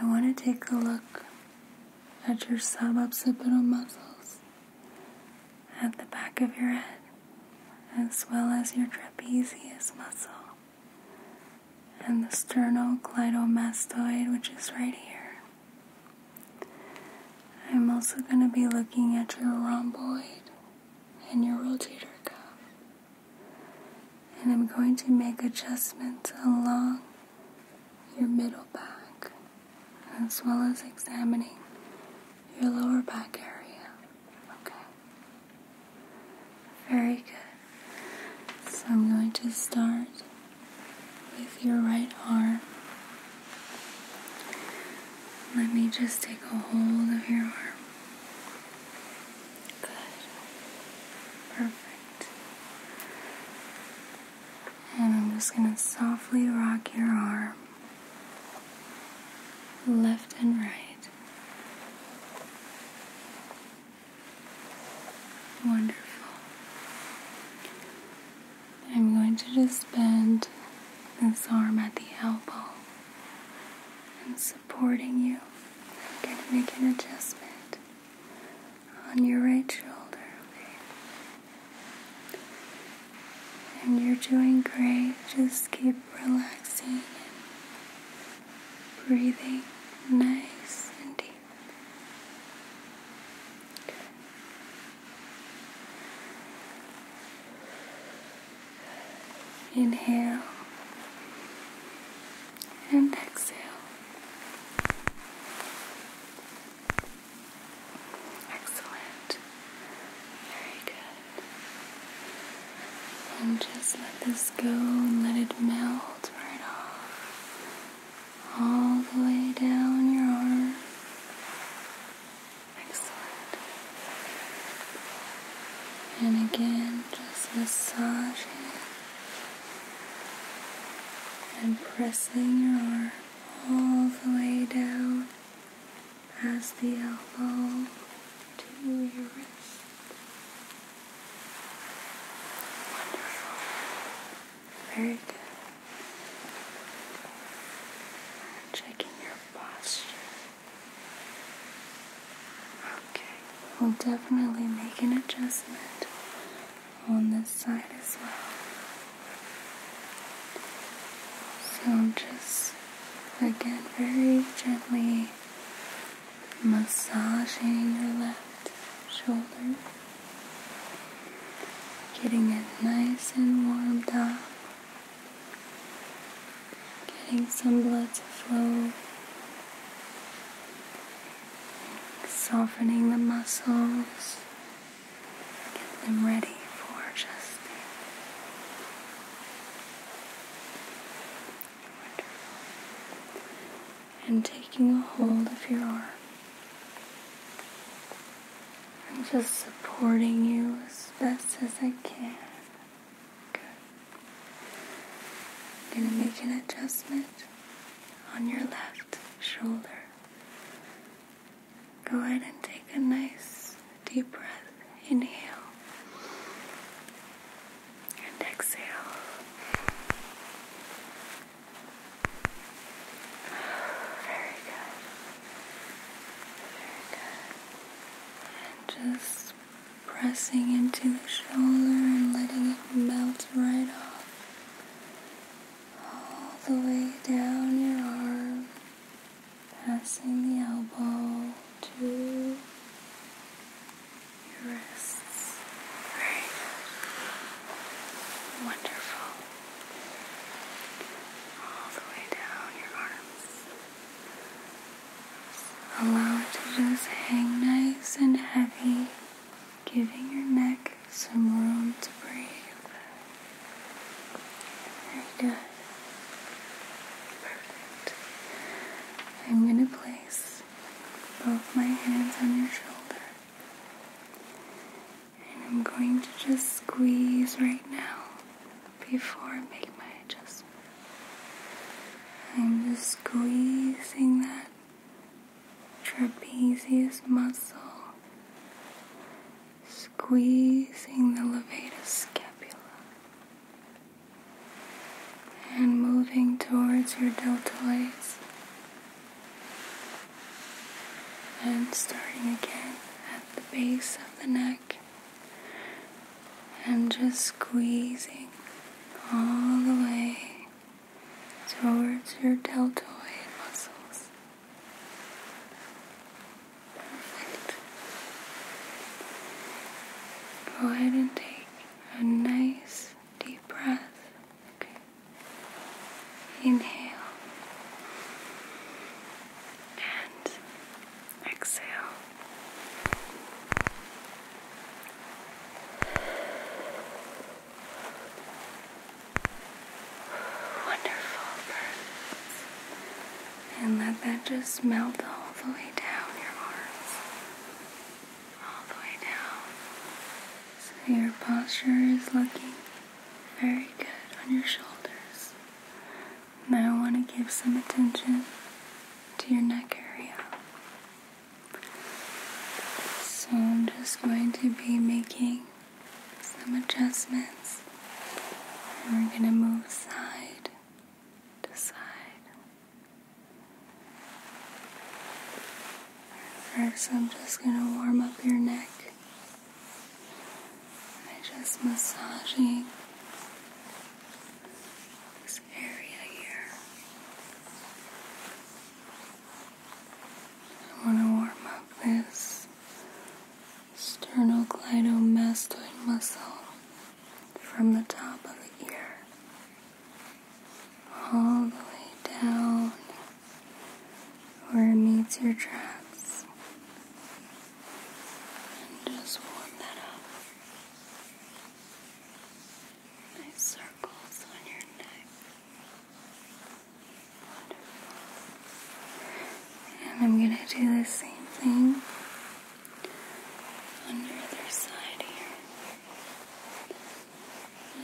I want to take a look at your suboccipital muscles at the back of your head, as well as your trapezius muscle and the sternocleidomastoid, which is right here. I'm also going to be looking at your rhomboid and your rotator cuff. And I'm going to make adjustments along your middle back as well as examining your lower back area. Okay. Very good. So I'm going to start with your right arm. Let me just take a hold of your arm. Good. Perfect. And I'm just going to softly rock your arm left and right. Wonderful. I'm going to just bend this arm at the elbow and supporting you. I'm going to make an adjustment on your right shoulder, okay? And you're doing great. Just keep relaxing and breathing nice and deep. Inhale and exhale. Excellent. Very good. And just let this go and let it melt right off. All the way down your arm. Excellent. And again, just massage it and pressing your arm all the way down as the elbow to your wrist. Wonderful. Very good. Checking your posture. Okay, we'll definitely make an adjustment on this side as well. So just again, very gently massaging your left shoulder, getting it nice and warmed up, getting some blood to flow softening the muscles, get them ready for just and taking a hold of your arm I'm just supporting you as best as I can. I'm going to make an adjustment on your left shoulder. Go ahead and take a nice deep breath. Inhale and exhale. Very good. Very good. And just pressing into the shoulder and letting it melt right off all the way down your arm, passing the elbow to your wrists. Very Wonderful. All the way down your arms. Allow it to just hang nice and heavy, giving your neck some room to breathe. Perfect. I'm going to place both my hands on your shoulder. And I'm going to just squeeze right now before I make my adjustment. I'm just squeezing that trapezius muscle, squeezing the levator scapula, and moving towards your deltoids, and starting again at the base of the neck, and just squeezing all the way towards your deltoid muscles. Go ahead and take a nice deep breath. Okay. Inhale. And exhale. Wonderful, And let that just melt all the way down your arms. All the way down. So your posture is looking very good on your shoulders. Now I want to give some attention to your neck area. So I'm just going to be making some adjustments. And we're going to move side to side. First, I'm just going to warm up your neck I'm just massaging area here. I want to warm up this sternocleidomastoid muscle from the top of the ear all the way down where it meets your tracts, And just warm that up nice circles on your neck. And I'm going to do the same thing on the other side here.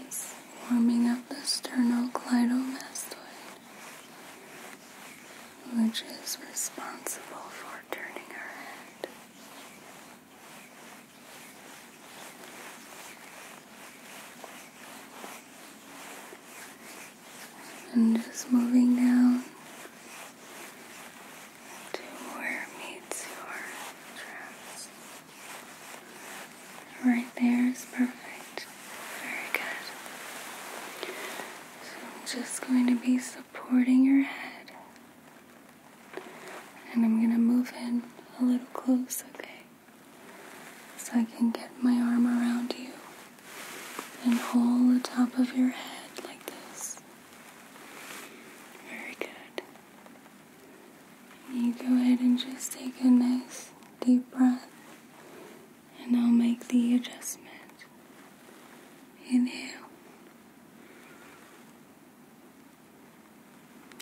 It's warming up the sternocleidomastoid, which is responsible for turning our head. And just moving down to where meets your dress. Right there is perfect. Very good. So I'm just going to be supporting your head and I'm gonna move in a little close, okay? So I can get my arm around you and hold the top of your head like this. Very good. You go ahead and just take a nice deep breath, and I'll make the adjustment. Inhale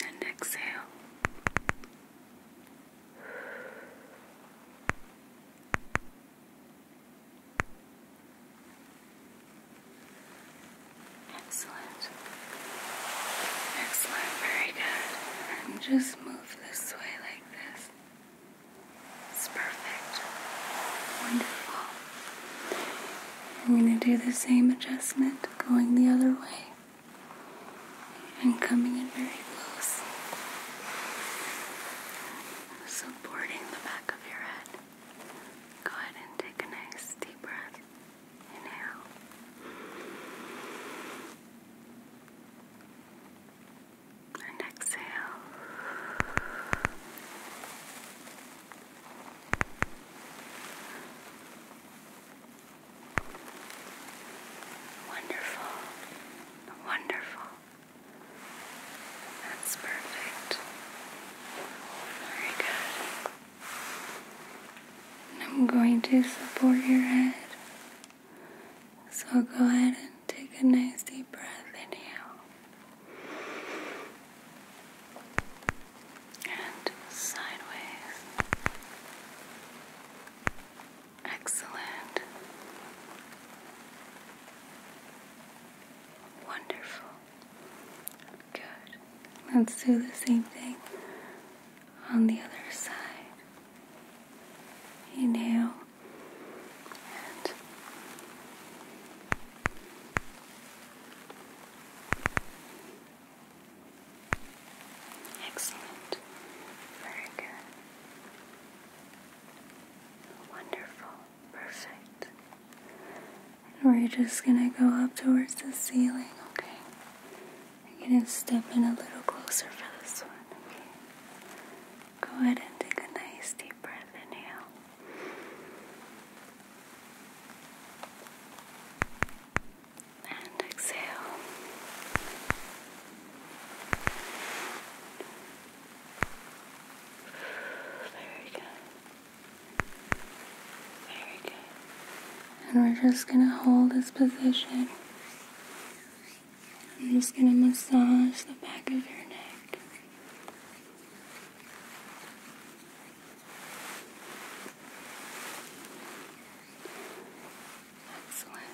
and exhale. Excellent. Excellent. Very good. just move this way like this. It's perfect. Wonderful. I'm going to do the same adjustment going the other way and coming in very close, supporting the back of your head. Go ahead and take a nice deep breath. Inhale. And exhale. Wonderful, wonderful. That's perfect. Very good. I'm going to support your head. So go ahead and take a nice deep breath in here and sideways. Excellent. Wonderful. Good. Let's do the same thing on the other side. Inhale Excellent. Very good. Wonderful. Perfect. we're just gonna go up towards the ceiling, okay? we are gonna step in a little closer for this one, Go ahead and take a nice deep breath. Inhale. And exhale. Very good. Very good. And we're just going to hold this position. I'm just going to massage the back of your neck. Excellent.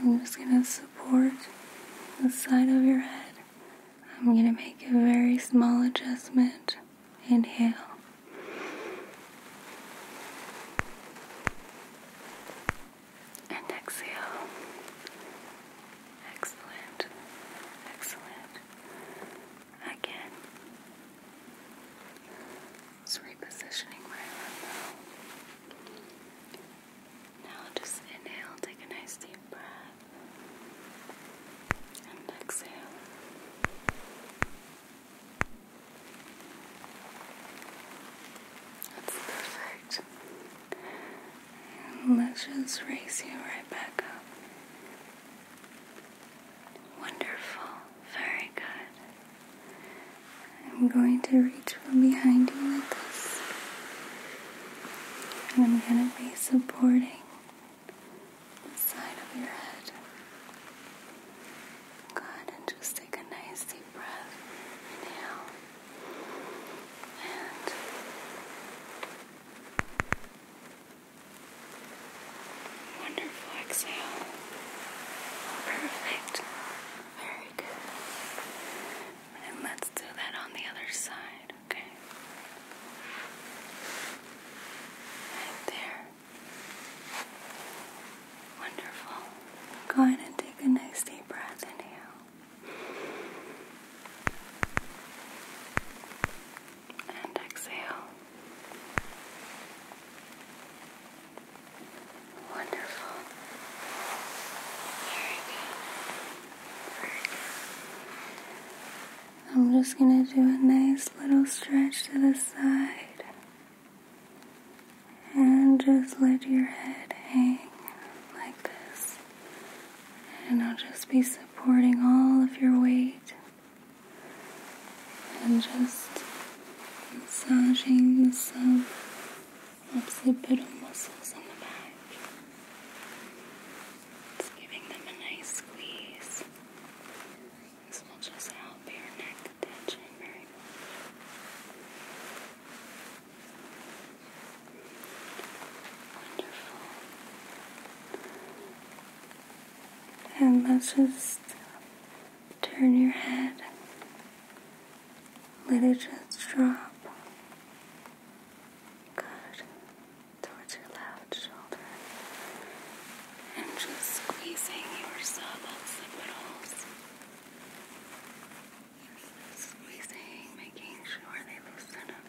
I'm just going to support the side of your head. I'm going to make a very small adjustment. Inhale. And exhale. Excellent. Excellent. Again. Just repositioning my arm Now just inhale, take a nice deep breath. And exhale. That's perfect let's just raise you right back up. Wonderful. Very good. I'm going to reach from behind you like this. And I'm going to be supporting the side of your head. Good. And just take a nice deep breath. Inhale. And Wonderful exhale. Perfect. Very good. And let's do that on the other side, okay? Right there. Wonderful. Go ahead and take a nice deep breath. Inhale and exhale. Wonderful. Very good. Very I'm just going to do a nice little stretch to the side and just let your head hang like this. And I'll just be supporting all of your weight and just massaging the sub occipital muscles in the back. Just giving them a nice squeeze. This will just help your neck tension very and let's just turn your head. Let it just drop. Good. Towards your left shoulder. And just squeezing your subocipitals squeezing, making sure they loosen up.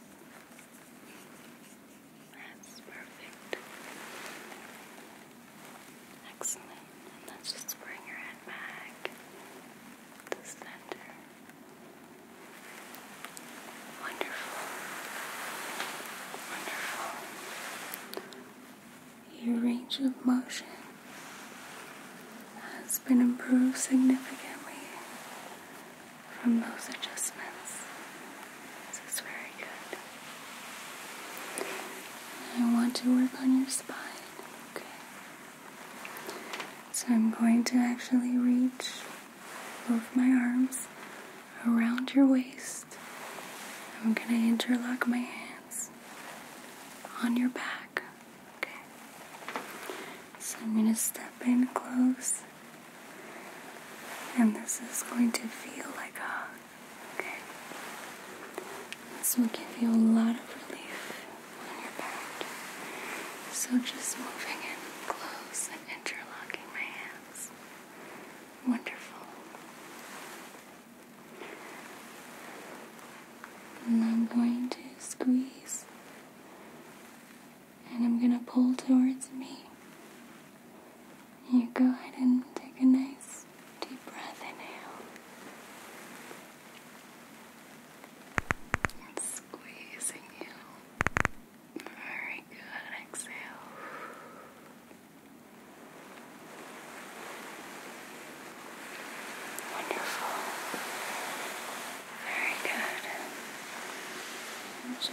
That's perfect. Excellent. let's just bring your head back to center. Wonderful. Wonderful. Your range of motion has been improved significantly from those adjustments. This is very good. I want to work on your spine, okay? So I'm going to actually reach both my arms around your waist. I'm going to interlock my hands on your back. Okay. So I'm going to step in close. And this is going to feel like a Okay. This will give you a lot of relief on your back. So just moving in close and interlocking my hands. Wonderful. And I'm going to squeeze and I'm gonna pull towards me. You go ahead and take a nice deep breath inhale. squeezing you. Very good. Exhale. Wonderful. Very good.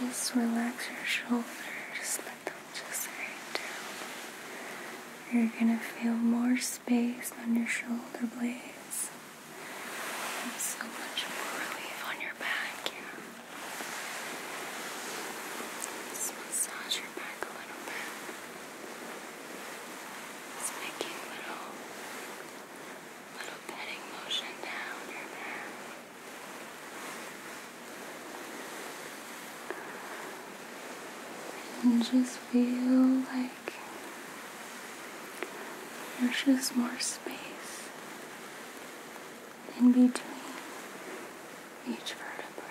just relax your shoulders. Let them just hang down. You're going to feel more space on your shoulder blades. so much more relief on your back. Just massage your back a little bit. It's making little little petting motion down your back. And just feel like there's just more space in between each vertebrae.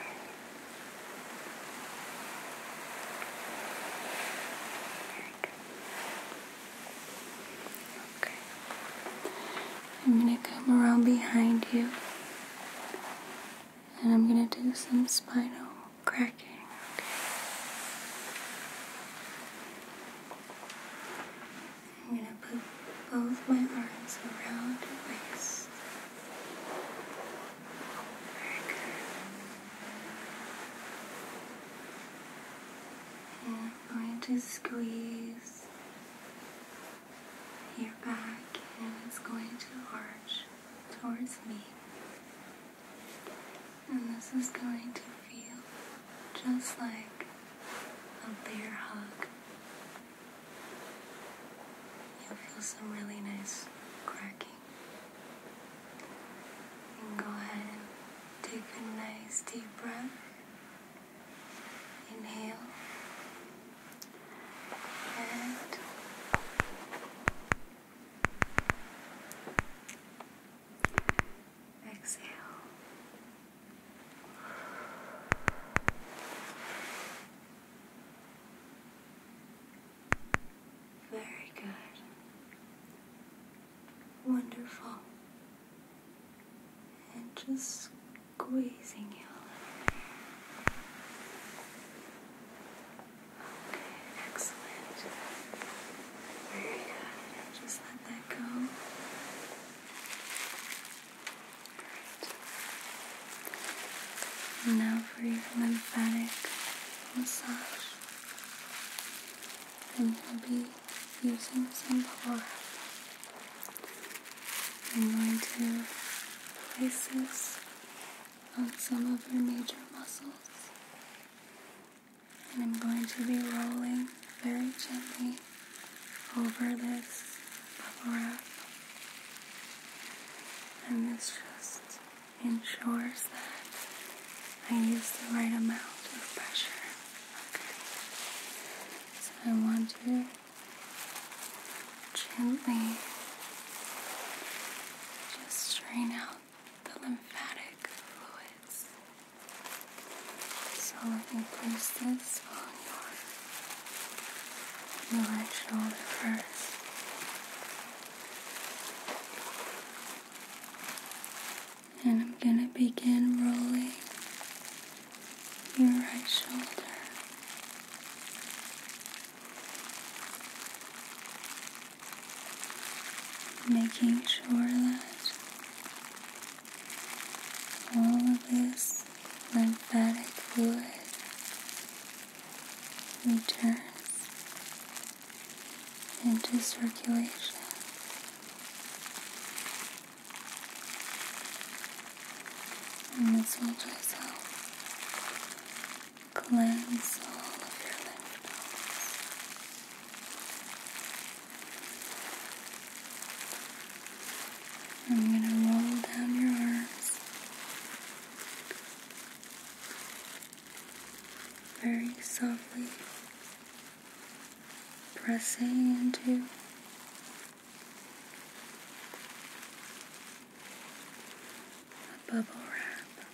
Okay. I'm going to come around behind you and I'm going to do some spinal cracking. I'm going to put both my arms around your waist. Very good and I'm going to squeeze your back and it's going to arch towards me. And this is going to feel just like a bear hug. You'll feel some really nice cracking. And go ahead and take a nice deep breath. Inhale and exhale. Very good wonderful. And just squeezing you a little bit. Okay, excellent. Very good. Just let that go. Great. Now for your lymphatic massage. I'm going to be using some bubble wrap. I'm going to place this on some of your major muscles. And I'm going to be rolling very gently over this bubble And this just ensures that I use the right amount of pressure. So I want to gently just drain out the lymphatic fluids. So let me place this on your, your right shoulder first. And I'm going to begin rolling your right shoulder. Making sure that all of this lymphatic fluid returns into circulation. And this will just help cleanse all of your lymph nodes. I'm going to roll down your arms very softly pressing into a bubble wrap.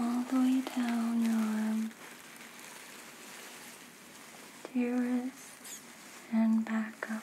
All the way down your arm to your wrists and back up.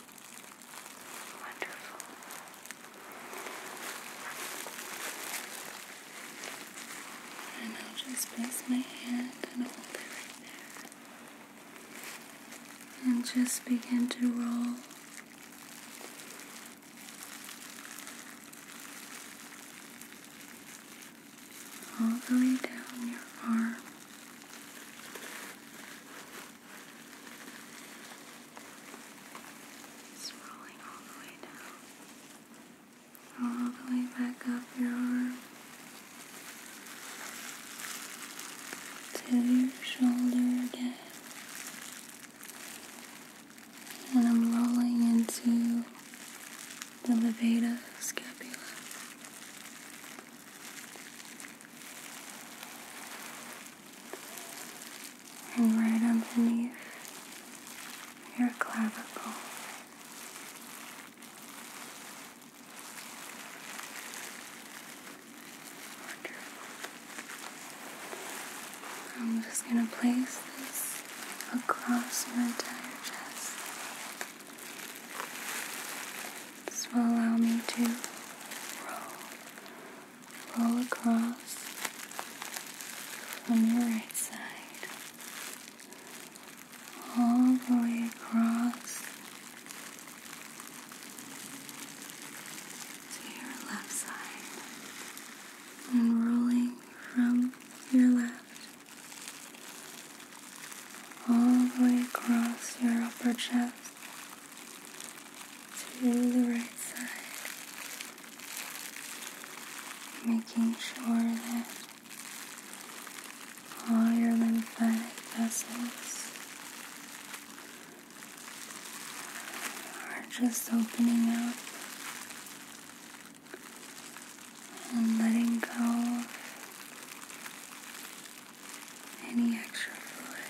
Wonderful. And I'll just place my hand and hold it right there. And just begin to roll. All the way down your arm, it's all the way down, all the way back up your arm to your shoulder again. And I'm rolling into the levator scapula and right underneath your clavicle. I'm just going to place this across my entire chest. This will allow me to roll roll across from your right side all the way across to your left side and rolling from your left all the way across your upper chest to the right side, making sure that all your lymphatic vessels are just opening up and letting go of any extra fluid.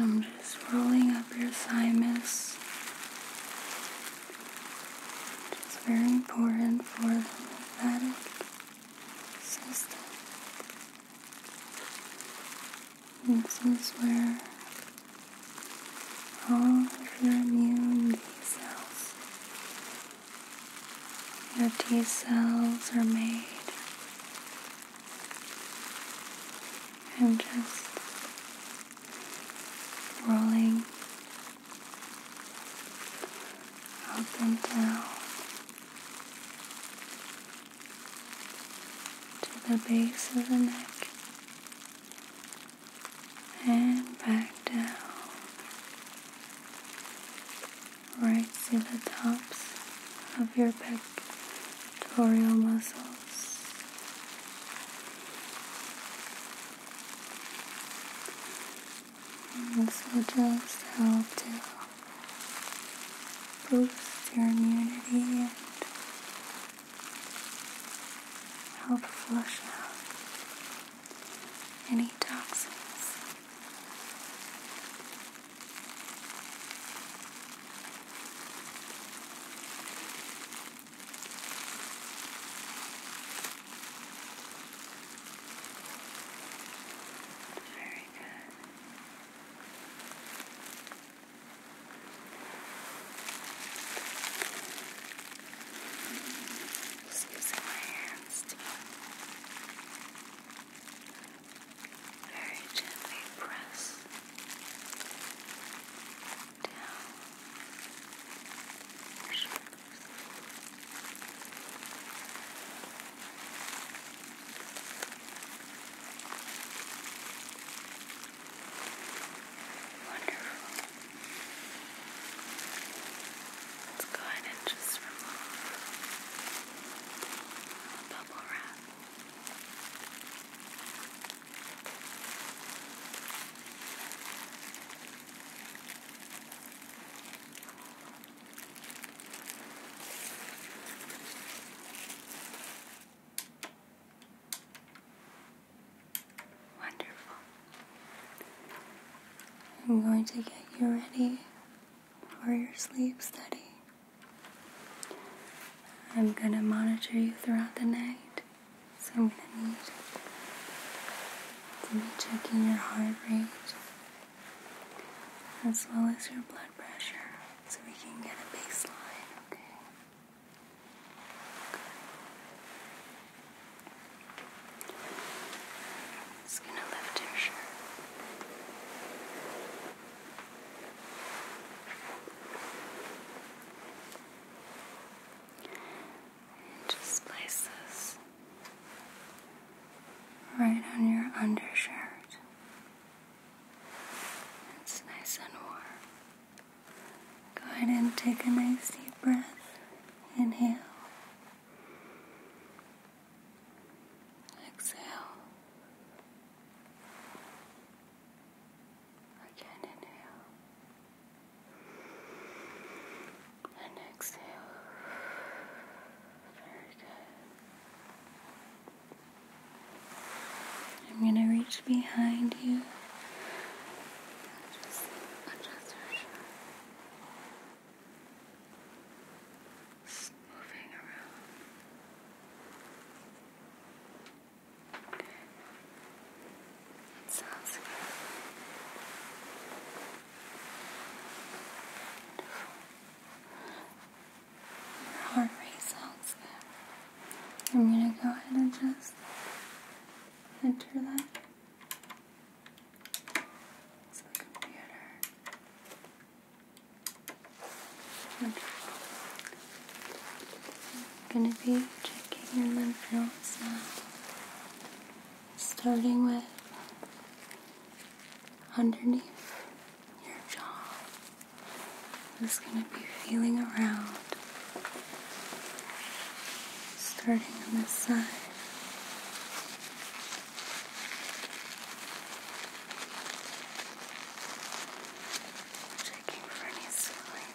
I'm just rolling up your thymus it's very important for the lymphatic system. This is where all of your immune B cells, your T cells are made. And just rolling up and down to the base of the neck and back down right to the tops of your pectoral muscles and this will just help to boost your immunity and help flush out any toxins. Very good. Just using my hands to very gently press down your Wonderful. Let's go ahead and just remove the bubble wrap. Wonderful. I'm going to get you ready for your sleep study. I'm going to monitor you throughout the night so I'm gonna need to be checking your heart rate as well as your blood pressure so we can get a baseline, okay? just gonna lift your shirt. And just place this right on your undershirt. It's nice and warm. Go ahead and take a nice deep breath. Inhale. Exhale. Again, inhale. And exhale. Very good. I'm going to reach behind you. Just adjust your shoulders. Moving around. Sounds good. Your heart rate sounds good. I'm gonna go ahead and just enter that. It's the computer. I'm going to be checking your lymph nodes now, starting with underneath your jaw. I'm just going to be feeling around, starting on this side. Checking for any swelling.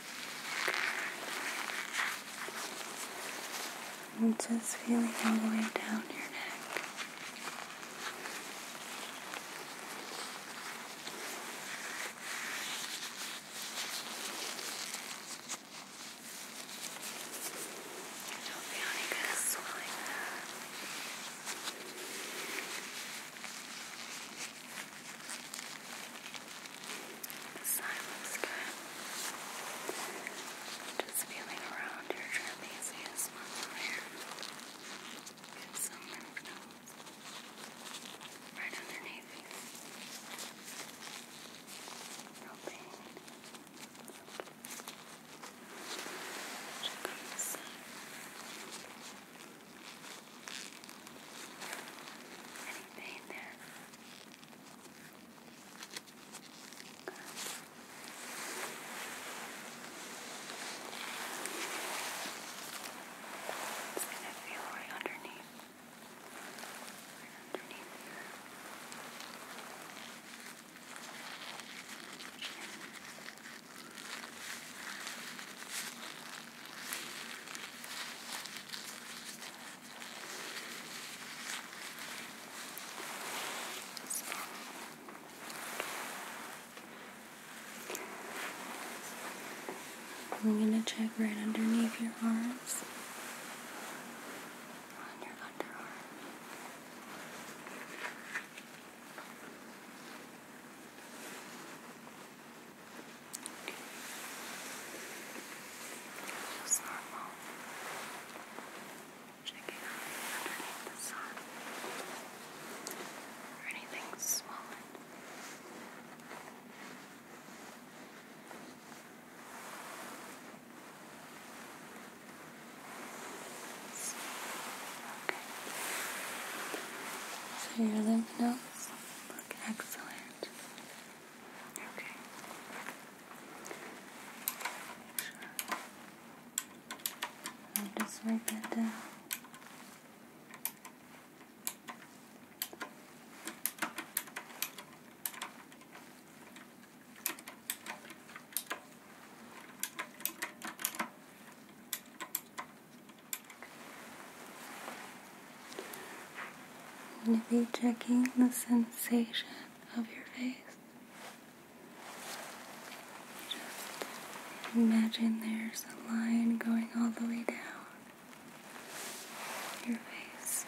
I'm just feeling all the way down your neck. I don't feel any kind of swelling there. Silence good. Just feeling around your trapezius muscle here. Get some lymph nodes right underneath you. No pain. Check on this side. Any pain there? It's gonna feel right underneath. Right underneath here. Right I'm going to check right underneath your arms, on your underarm. Just normal. Checking out underneath the sun. Or anything swollen. Okay. So your lymph nodes look excellent. Okay. Sure. just write that down. I'm going to be checking the sensation of your face. Just imagine there's a line going all the way down your face.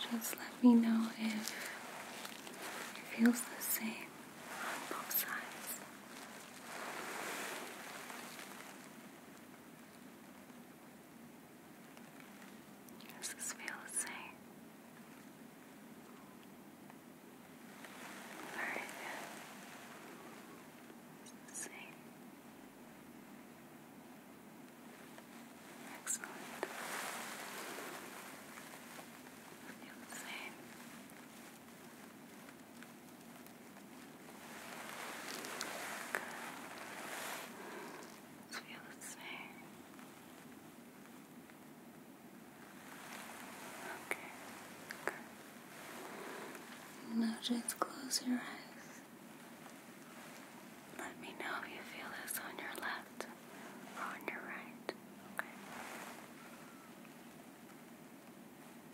Just let me know if it feels the same on both sides. Does this feel the same? Very good. same. Excellent. Feel the same feel the same. Okay, good. Now just close your eyes. Let me know if you feel this on your left or on your right. Okay.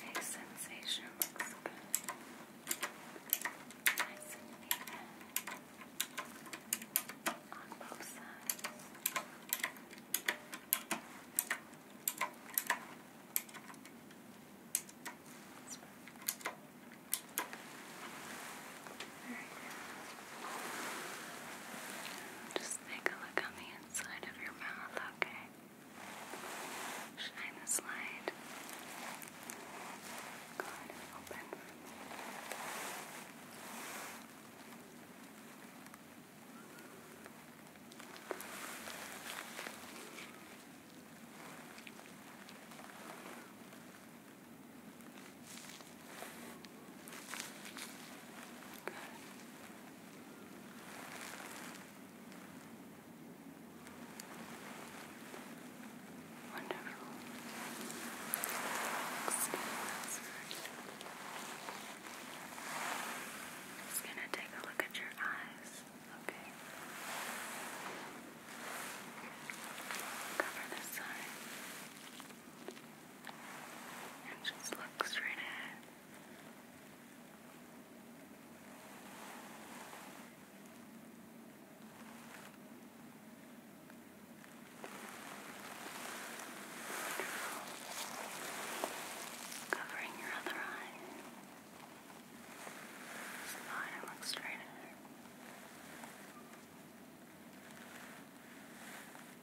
Hey, sensation looks good. Nice and even on both sides. That's just take a look on the inside of your mouth, okay? Shine this light. Go ahead and open. Wonderful. Just gonna take a look at your eyes. Okay. Cover this side just look straight ahead. Covering your other eye. Smile and look straight ahead.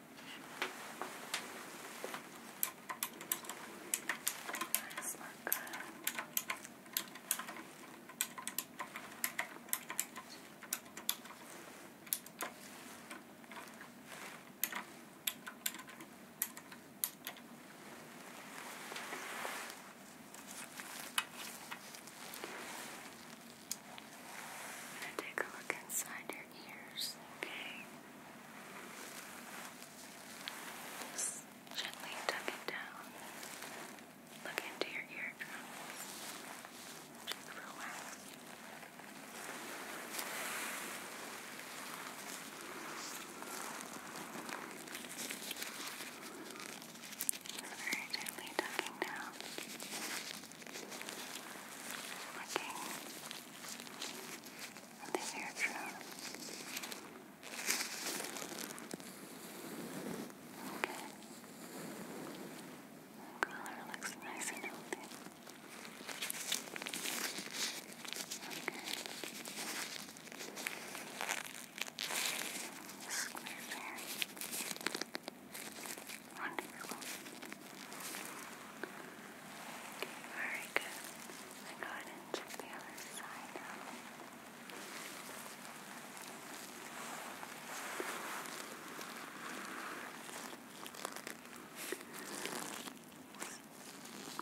Nice look. I'm going to take a look inside your ears, okay? Just gently tuck it down. Look into your eardrums. Just relax. Very gently tucking down working on this air drone. Okay. The color looks nice and healthy. Okay. Square there. Wonderful. Very good. Then go ahead and check the other side out.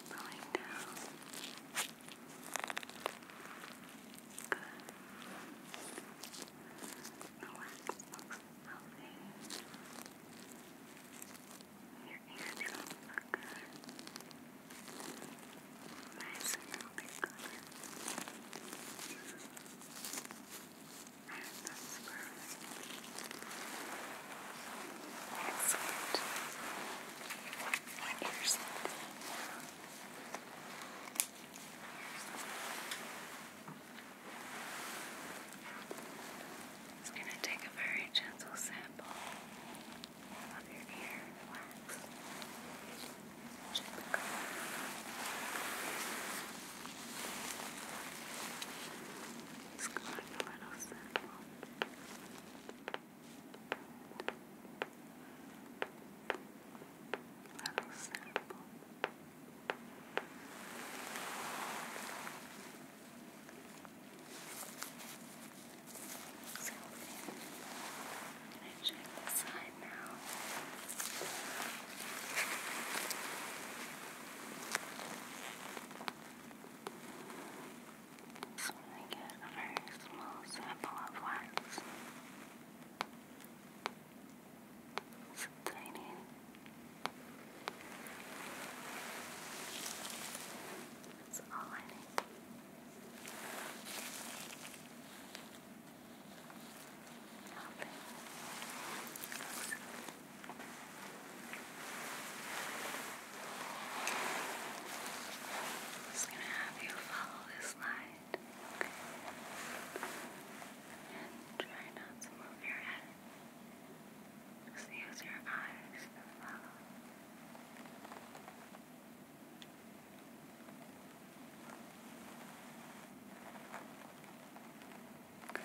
Rolling down. Good. The wax looks healthy. Your eardrums look good. Nice and And that's perfect. Excellent. What ears look good it's going to take a very gentle sample of your ear. Just go a Little sample. So can I check the side now? So I get a very small sample of wax. It's tiny. That's all I need. Nothing. I'm just gonna have you follow this light, And try not to move your head just use your eyes to follow. Good. Good.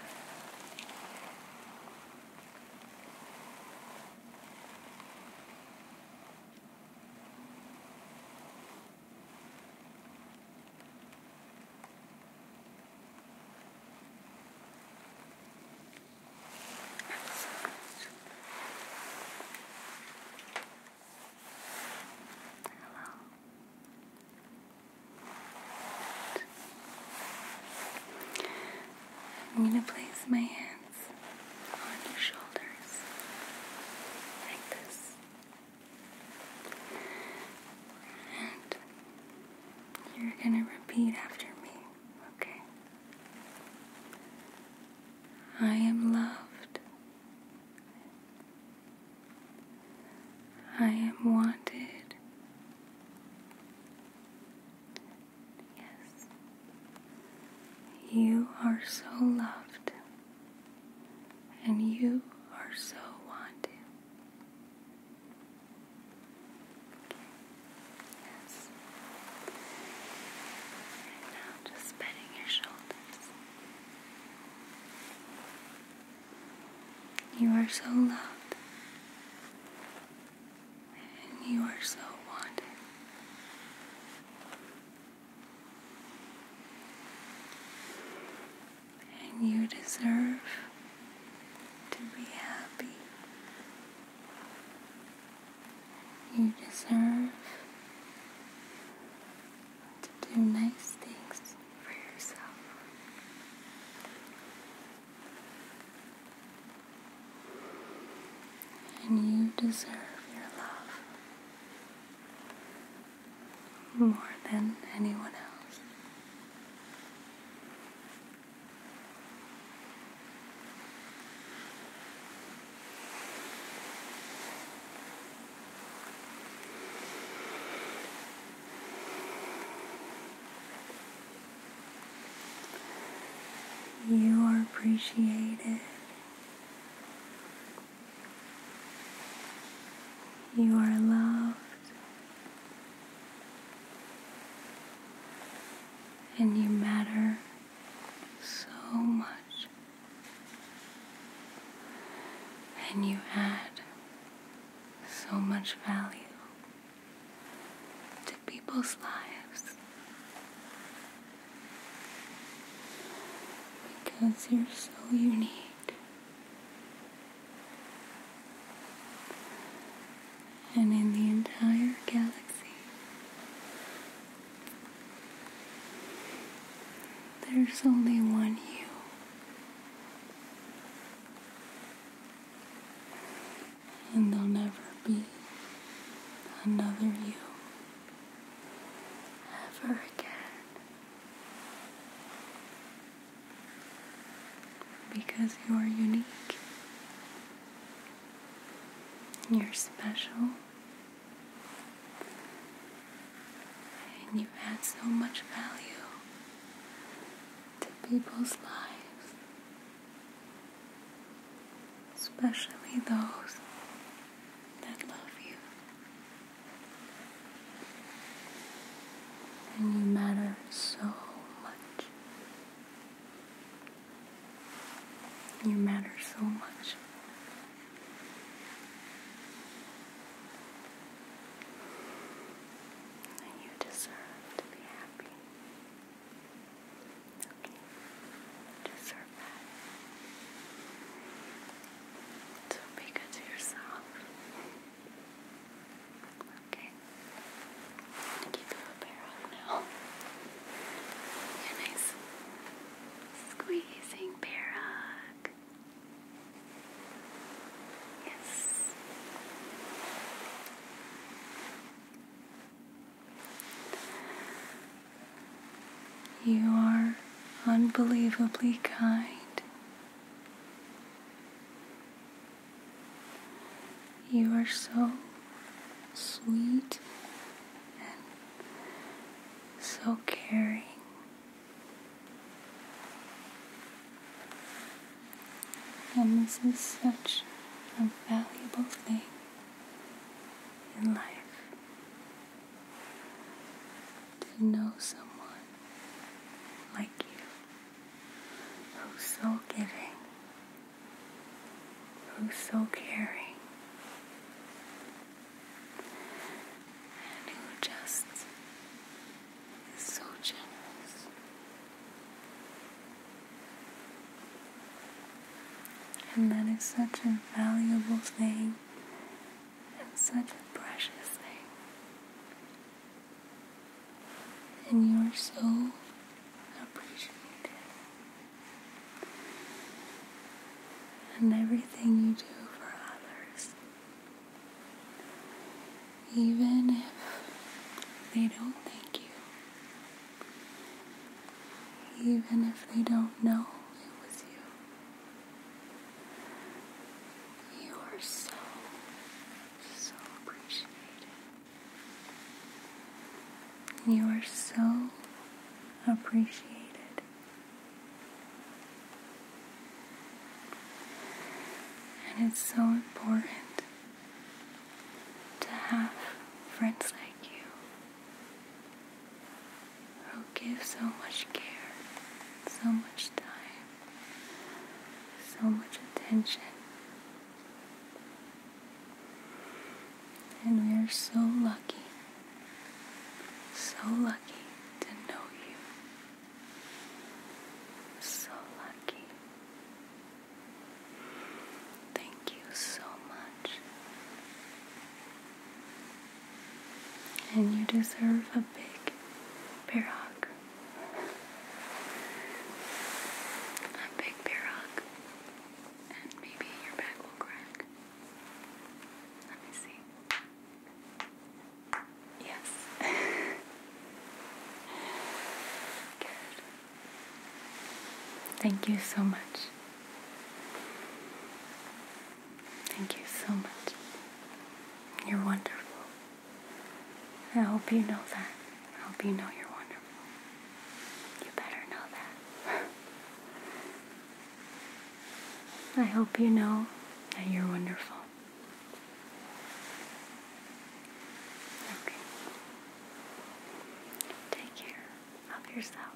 Hello. I'm going to place my hands on your shoulders like this. And you're going to repeat after me, okay? I am loved. I am wanted. Yes. You are so loved. And you are so wanted just bending your shoulders. You are so loved. And you are so wanted and you deserve to be happy. You deserve to do nice things for yourself. And you deserve your love more than anyone else. You are appreciated. You are loved and you matter so much, and you add so much value to people's lives because you're so unique and in the entire galaxy. There's only one you. And there'll never be another you ever again because you are unique. You're special. And you've had so much value to people's lives, especially those that love you. And you matter so much. You matter so much. And you deserve to be happy. Okay. deserve that. So be good to yourself. Okay. I'm keep your hair up now. Yeah, nice. Squeezing bear hug. Yes. You are unbelievably kind you are so sweet and so caring. And this is such a valuable thing in life to know someone like you who's oh, so giving, who's oh, so caring, and who just is so generous. And that is such a valuable thing and such a precious thing and you are so appreciated. And everything you do for others, even if they don't thank you, even if they don't know it was you, you are so, so appreciated. You are so appreciated. And it's so important to have friends like you who give so much care, so much time, so much attention. And we are so lucky, so lucky to know you. So lucky. Thank you so much. And you deserve a big bear hug a big bear hug, and maybe your back will crack. Let me see. Yes. Good. Thank you so much. Thank you so much. You're wonderful. I hope you know that. I hope you know you're wonderful. You better know that. I hope you know that you're wonderful. Okay. Take care of yourself.